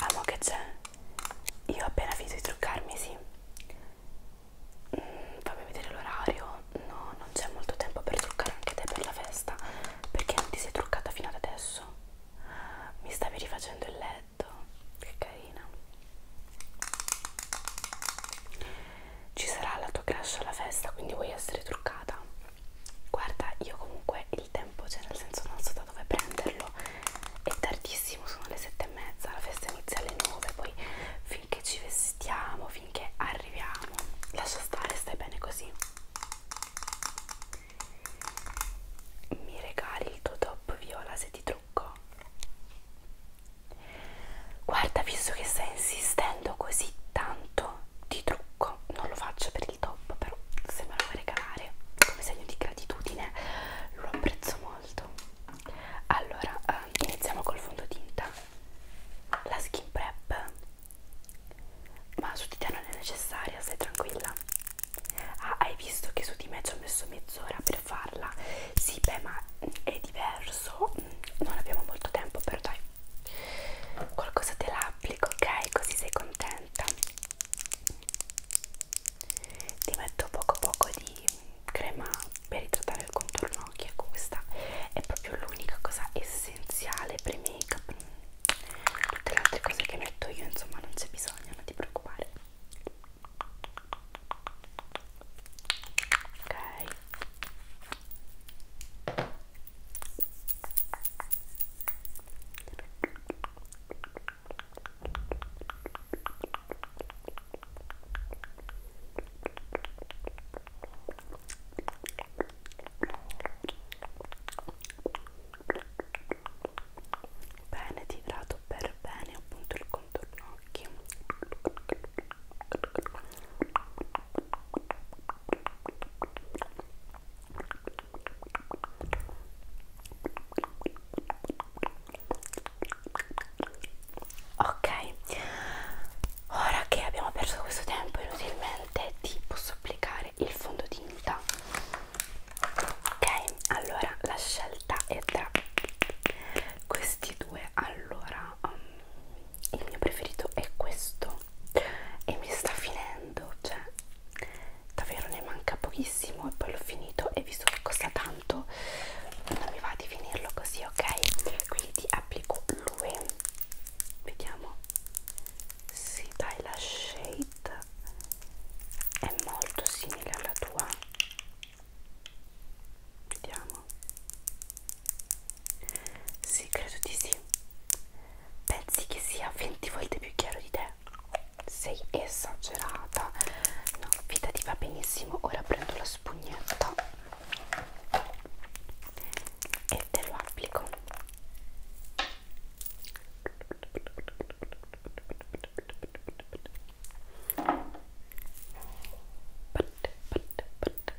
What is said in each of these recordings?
Amo che c'è? Io ho appena finito di truccarmi, sì. Mm, fammi vedere l'orario. No, non c'è molto tempo per truccare anche te per la festa. Perché non ti sei truccata fino ad adesso? Mi stavi rifacendo il letto. Che carina. Ci sarà la tua crush alla festa, quindi vuoi essere truccata? guarda io comunque il tempo cioè nel senso non so da dove prenderlo è tardissimo sono le sette e mezza la festa inizia alle nove poi finché ci vestiamo finché arriviamo lascia stare stai bene così mi regali il tuo top viola se ti trucco guarda visto che stai insistendo così tanto video di trucco non lo faccio per il top però se me lo vuoi regalare come segno di gratitudine lo apprezzo molto allora eh, iniziamo col fondotinta la skin prep ma su di te non è necessaria stai tranquilla ah hai visto che su di me ci ho messo mezz'ora per farla sì beh ma è diverso corso non abbiamo molto tempo però dai qualcosa te l'applico ok così sei contenta ti metto poco poco di crema per idratare il contorno occhi ecco questa è proprio l'unica cosa essenziale per i make up tutte le altre cose che metto io insomma non c'è bisogno non ti preoccupare ok Bene, tirato per bene appunto il contorno occhi. Ok, ora che abbiamo perso questo tempo inutilmente, ti posso applicare il fondotinta. Ok, allora la scelta è tra questi due. Allora, um, il mio preferito è questo e mi sta finendo cioè davvero ne manca pochissimo e poi l'ho finito e visto che costa tanto non mi va di finirlo così ok quindi ti applico lui vediamo si sì, dai la shade è molto simile alla tua vediamo sì credo di sì pensi che sia 20 volte più chiaro di te sei esagerata no vita ti va benissimo ora prendo la spugnetta e te lo applico Pat, pat, pat,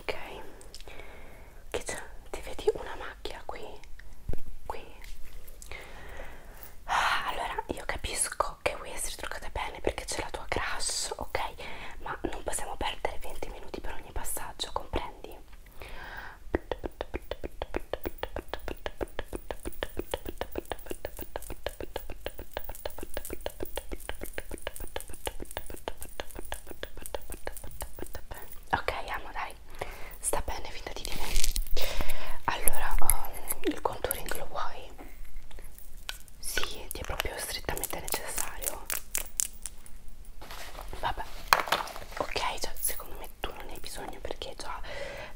ok che c'è? ti vedi una macchia qui? qui? Ah, allora io capisco che vuoi essere truccata bene perché c'è la tua crush ok ma non possiamo perdere 20 minuti per ogni passaggio comprendi? Ok, amo, dai, sta bene, fidati di me. Allora, um, il contouring lo vuoi? Sì, ti è proprio strettamente necessario. Vabbè, ok, cioè, secondo me tu non ne hai bisogno perché già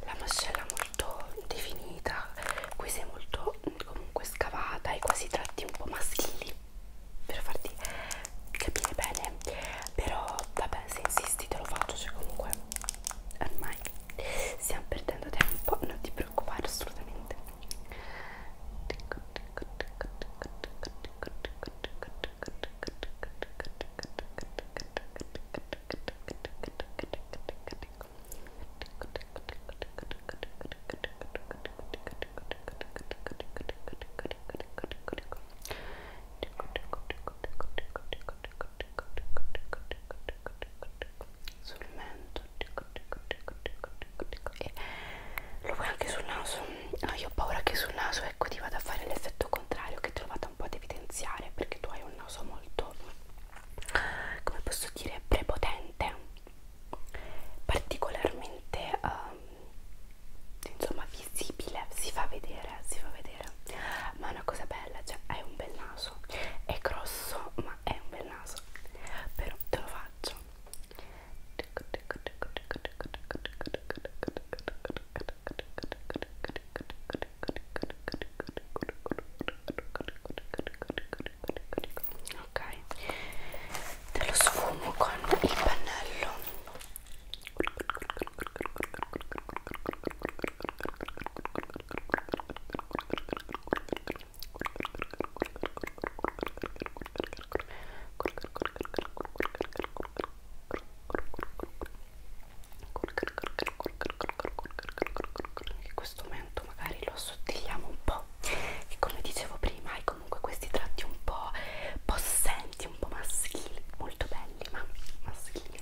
la mascella è molto definita. Qui sei molto comunque scavata e quasi tratti un po' maschili per farti capire bene però vabbè se insisti te lo faccio cioè comunque ormai stiamo perdendo tempo non ti preoccupare assolutamente sul mento e lo vuoi anche sul naso? No, ah, io ho paura che sul naso ecco ti vado a fare l'effetto contrario che te lo vado un po' ad evidenziare perché tu hai un naso molto come posso dire prepotente particolarmente um, insomma visibile si fa vedere si fa vedere ma è una cosa bella cioè hai un bel naso è grosso ma è un bel naso però te lo faccio ok te lo sfumo con il pannello che questo mento magari lo assottigliamo un po' e come dicevo prima hai comunque questi tratti un po' possenti, un po' maschili, molto belli ma maschili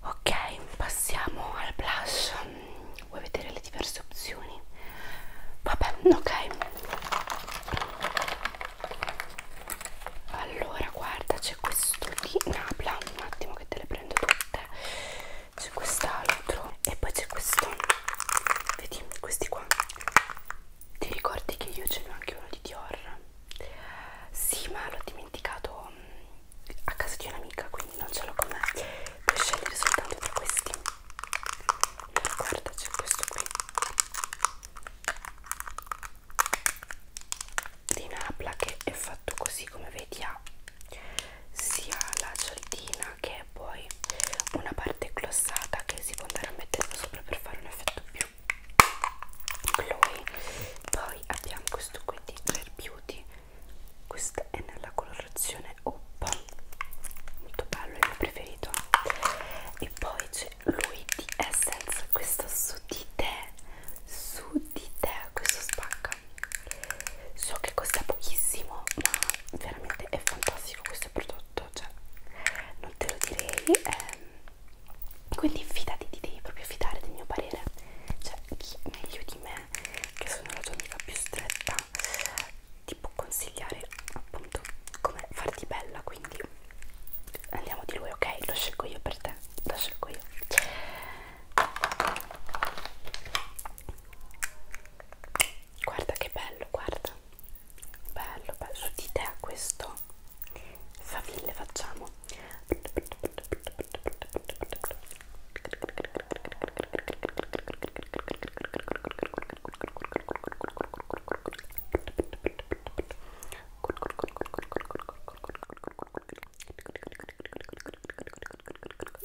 ok passiamo al blush vuoi vedere le diverse opzioni vabbè ok allora guarda c'è questo di Napla un attimo che te le prendo tutte c'è quest'altro e poi c'è questo vedi questi qua ti ricordi che io ce n'ho anche uno di Dior sì ma l'ho dimenticato mm, a casa di un'amica quindi non ce l'ho con me puoi scegliere soltanto tra questi guarda c'è questo qui di Napla che è fatto così come vedi ha sia la cialdina che poi una parte glossata che si può andare a mettere sopra per fare un effetto più glowy poi abbiamo questo qui di Rare Beauty questa è nella colorazione Oppa molto bello, è il mio preferito e poi c'è lui di Essence questo su di te su di te questo spacca so che costa pochissimo ma veramente è fantastico questo prodotto cioè non te lo direi ehm. quindi fidati ti devi proprio fidare del mio parere cioè chi meglio di me che sono la tua amica più stretta ti può consigliare appunto come farti bella quindi andiamo di lui ok lo scelgo io per te lo scelgo io guarda che bello guarda bello bello su di te questo faville facciamo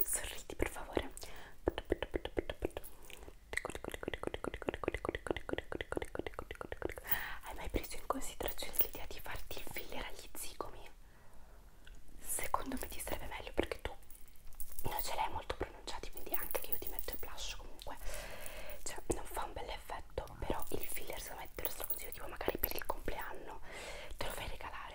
Sorridi per favore. Hai mai preso in considerazione l'idea di farti il filler agli zigomi? Secondo me ti sarebbe meglio perché tu non ce l'hai molto pronunciati, quindi anche che io ti metto il blush comunque cioè non fa un bel effetto, però il filler secondo me te lo straconsiglio tipo magari per il compleanno te lo fai regalare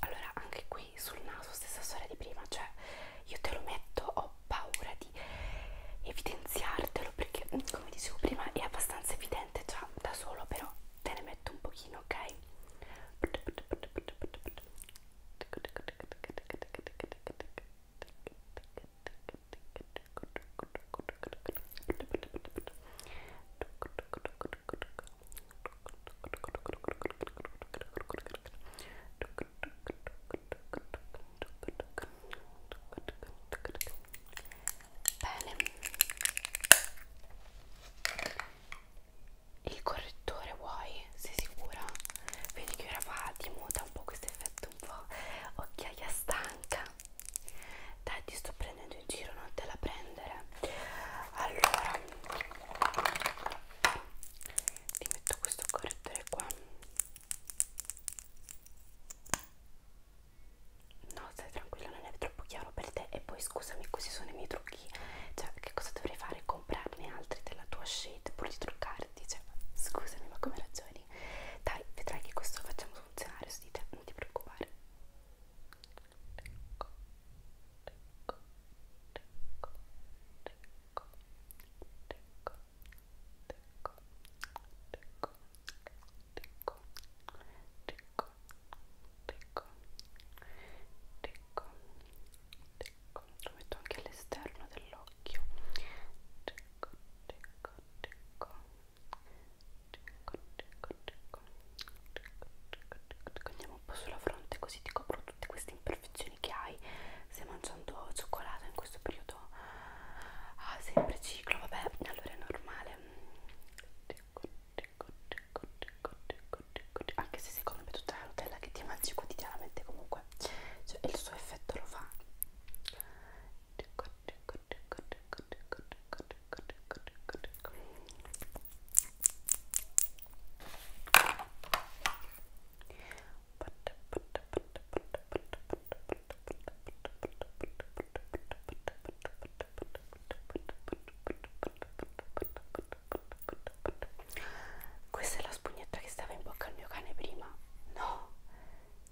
allora anche qui sul naso stessa storia di prima cioè io te lo metto ho paura di evidenziartelo perché mm, come dicevo prima è abbastanza evidente già da solo però te ne metto un pochino ok Bene. Il correttore vuoi? Sei sicura? Vedi che ora va di moda un po' questo effetto un po' occhiaia stanca. Dai, ti sto prendendo in giro, non te la prendere. Allora ti metto questo correttore qua no stai tranquillo non è troppo chiaro per te e poi scusami questi sono i miei trucchi cioè che cosa dovrei fare comprarne altri della tua shade pur di truccarti cioè scusami ma come ragioni dai vedrai che questo lo facciamo funzionare su di te non ti preoccupare ecco lo metto anche all'esterno dell'occhio andiamo un po' sulla fronte così ti copro tutte queste imperfezioni che hai stai mangiando cioccolato in questo periodo ah, sempre ciclo vabbè allora è normale anche se secondo me tutta la Nutella che ti mangi quotidianamente comunque cioè, il suo effetto lo fa questa è la spugnetta che stava in bocca al mio cane prima. No,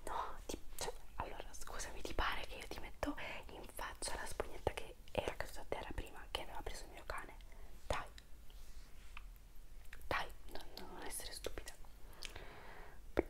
no, ti, cioè, allora scusami, ti pare che io ti metto in faccia la spugnetta che che era caduto a terra prima che aveva preso il mio cane dai dai non, non essere stupida di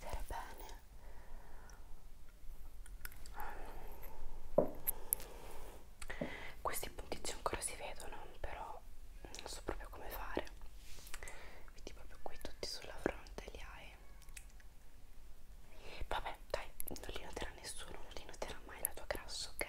vedere bene questi puntici ancora si vedono però non so proprio come fare vedi proprio qui tutti sulla fronte li hai vabbè dai non li noterà nessuno non li noterà mai la tua grasso ok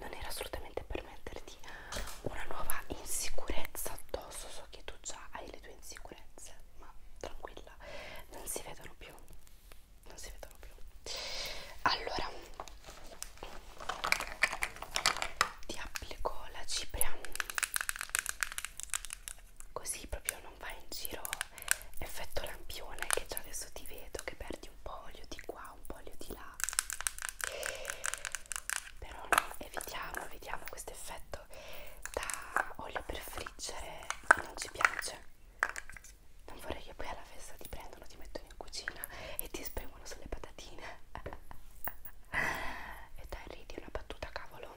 non era assolutamente per metterti una nuova insicurezza addosso. So che tu già hai le tue insicurezze, ma tranquilla, non si vedono più non si vedono più allora ti applico la cipria così proprio non va in giro effetto lampione che già adesso ti vedo che perdi un po' olio di qua un po' olio di là però no, evitiamo evitiamo questo effetto da olio per friggere non ci piace non vorrei che poi alla festa ti prendono, ti mettono in cucina e ti spremono sulle patatine e dai ridi una battuta cavolo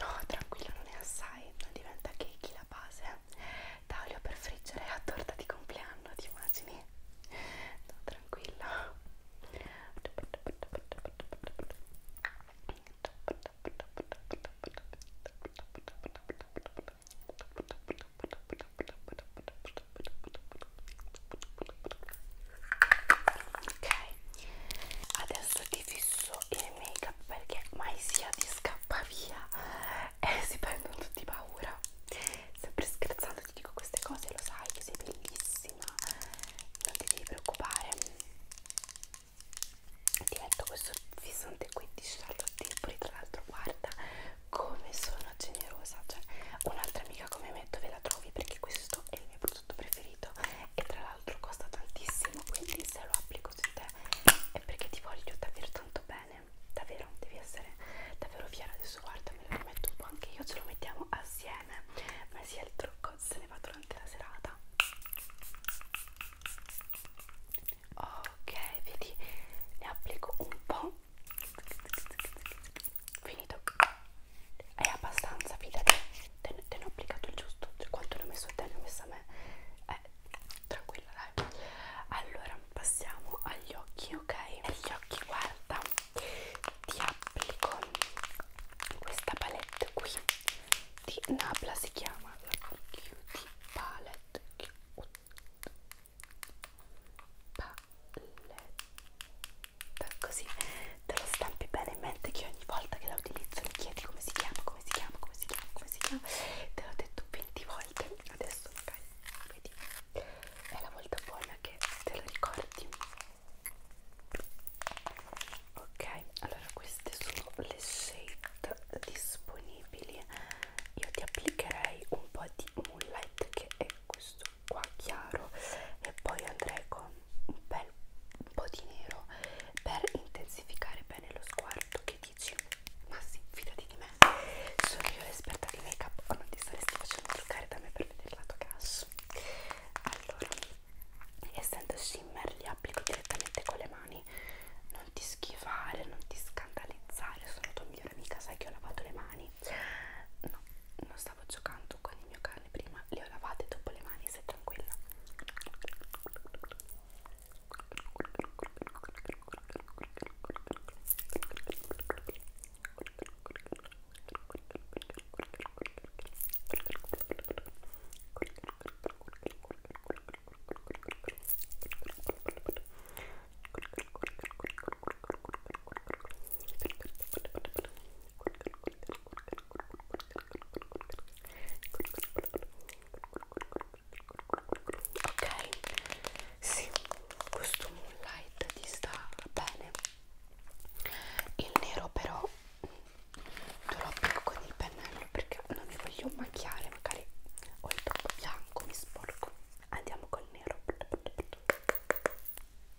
No, tranquillo, non è assai, non diventa cake la base. Taglio per friggere a torta di compleanno, ti immagini? No, tranquillo ok adesso ti fisso il make up perché mai sia ti scappa via e si prendono tutti paura sempre scherzando ti dico queste cose lo sai che sei bellissima non ti devi preoccupare ti metto questo fissante qui di Charlotte Tilbury tra l'altro guarda come sono generosa cioè un'altra amica come metto ve la trovi perché questo questo è il mio prodotto preferito e tra l'altro costa tantissimo quindi se lo applico su te è perché ti voglio davvero tanto bene davvero devi essere davvero fiera adesso guarda me lo metto un po' anche io ce lo mettiamo assieme ma sia il trucco se ne va durante la serata ok vedi ne applico un po' finito è abbastanza fidati te, te ne ho applicato il giusto cioè, quanto ne ho messo a te ne ho messo a me eh, tranquilla dai allora passiamo agli occhi ok agli occhi guarda ti applico questa palette qui di Nabla si chiama la Cutie Palette palette paletta così te lo stampi bene in mente che ogni volta che la utilizzo mi chiedi come si chiama, come si chiama, come si chiama, come si chiama te l'ho detto 20 volte adesso magari vedi è la volta buona che te lo ricordi ok allora queste sono le shade disponibili io ti applicherei un po' di moonlight che è questo qua chiaro e poi andrei con un bel po' di nero per intensificare bene lo sguardo che dici ma sì fidati di me sono io l'esperta di make up o oh, non ti saresti facendo truccare da me per vedere la tua cash allora essendo shimmer li applico direttamente con le mani non ti schifare non ti scandalizzare sono tuo migliore amica sai che ho lavato le mani no non stavo giocando con il mio cane prima le ho lavate dopo le mani sei tranquilla ok sì questo moonlight ti sta bene il nero però te lo applico con il pennello perché non mi voglio macchiare magari ho il troppo bianco mi sporco andiamo col nero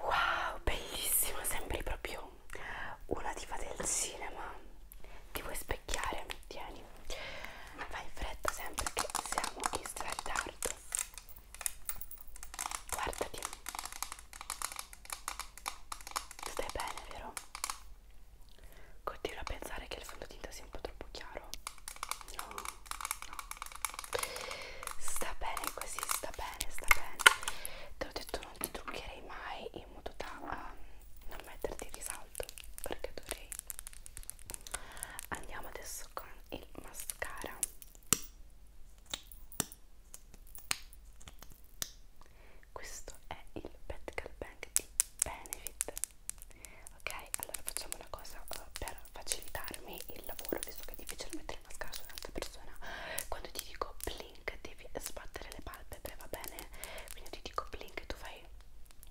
Wow, bellissima, sembri proprio una diva del cinema. Ti vuoi specchiare? Tieni. Vai in fretta sempre che siamo in straritardo. Guardati. Stai bene, vero? Continuo a pensare che il fondotinta sia un po' troppo chiaro. No, no. Sta bene così, sta bene, sta bene. Te l'ho detto, non ti truccherei mai in modo da um, non metterti risalto. Perché dovrei. Andiamo adesso con il mascara. Questo è il Pet Girl Bank di Benefit ok allora facciamo una cosa uh, per facilitarmi il lavoro visto che è difficile mettere la mascara su un'altra persona quando ti dico blink devi sbattere le palpebre va bene quindi ti dico blink tu fai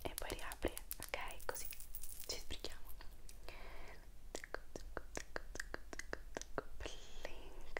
e poi riapri ok così ci sbrighiamo blink blink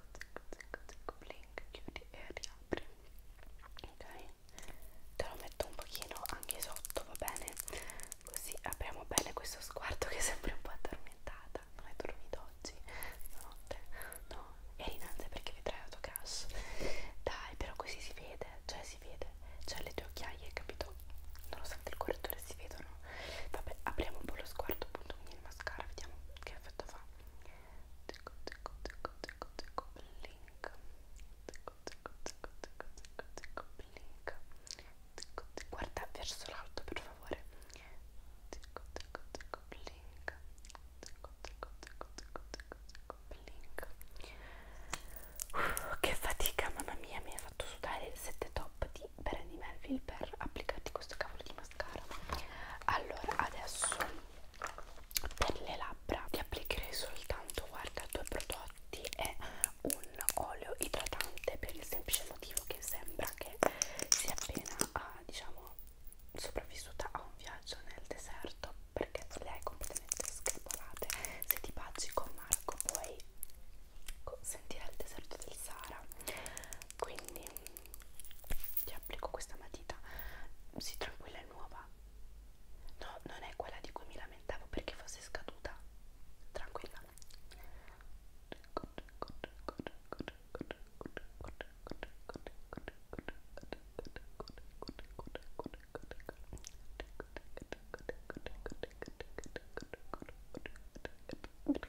zic, zic, blink, chiudi e riapri ok te lo metto un pochino anche sotto va bene così apriamo bene questo sguardo che è sempre un po' addormentata non hai dormito oggi stanotte no eri innanzi perché vedrai la tua crush dai però così si vede cioè si vede cioè le tue occhiaie capito nonostante il correttore si vedono vabbè apriamo un po' lo sguardo appunto quindi il mascara vediamo che effetto fa ticco ticco ticco ticco ticco blink ticco ticco ticco ticco ticco ticco blink ticco ticco guarda verso l'alto per favore ticco ticco ticco blink ticco ticco ticco ticco ticco ticco blink Uff, che fatica mamma mia mi ha fatto sudare il 7 top di Brandy Melville per applicarti questo cavolo di mascara allora adesso per le labbra ti applicherei soltanto guarda due prodotti e un olio idratante per il semplice motivo che sembra che sia appena ah, diciamo sopravvissuta a un viaggio nel deserto perché le hai completamente screpolate se ti baci con Marco puoi sentire il deserto del Sahara quindi ti applico questa matita si tranquilla è nuova no non è quella di cui mi lamentavo perché fosse scaduta tranquilla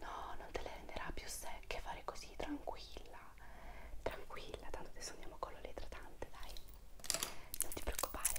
No, non te le renderà più secche fare così, tranquilla, tranquilla, tanto adesso andiamo con l'idratante, dai, non ti preoccupare.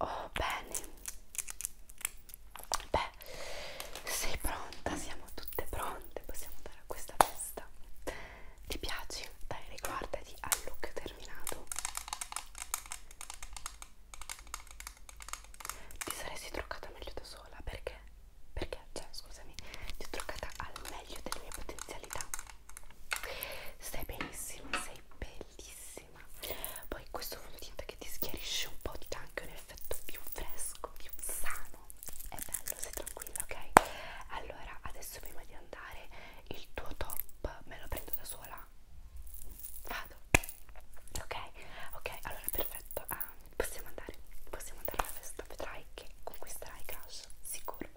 Oh bene, beh, sei pronta, siamo tutte pronte, possiamo andare a questa festa. Ti piaci? Dai, riguardati al look terminato. Ti saresti truccata meglio da sola, perché? Perché, cioè, scusami, ti ho truccata al meglio delle mie potenzialità. Stai benissimo, sei bellissima. Poi questo fondotinta che ti schiarisce un po' ti dà anche un effetto più fresco, più sano. È bello, sei tranquilla, ok? Allora, adesso prima di andare, il tuo top me lo prendo da sola. Vado. Ok, ok, allora perfetto. Ah, possiamo andare, possiamo andare alla festa, vedrai che conquisterai cash, sicuro.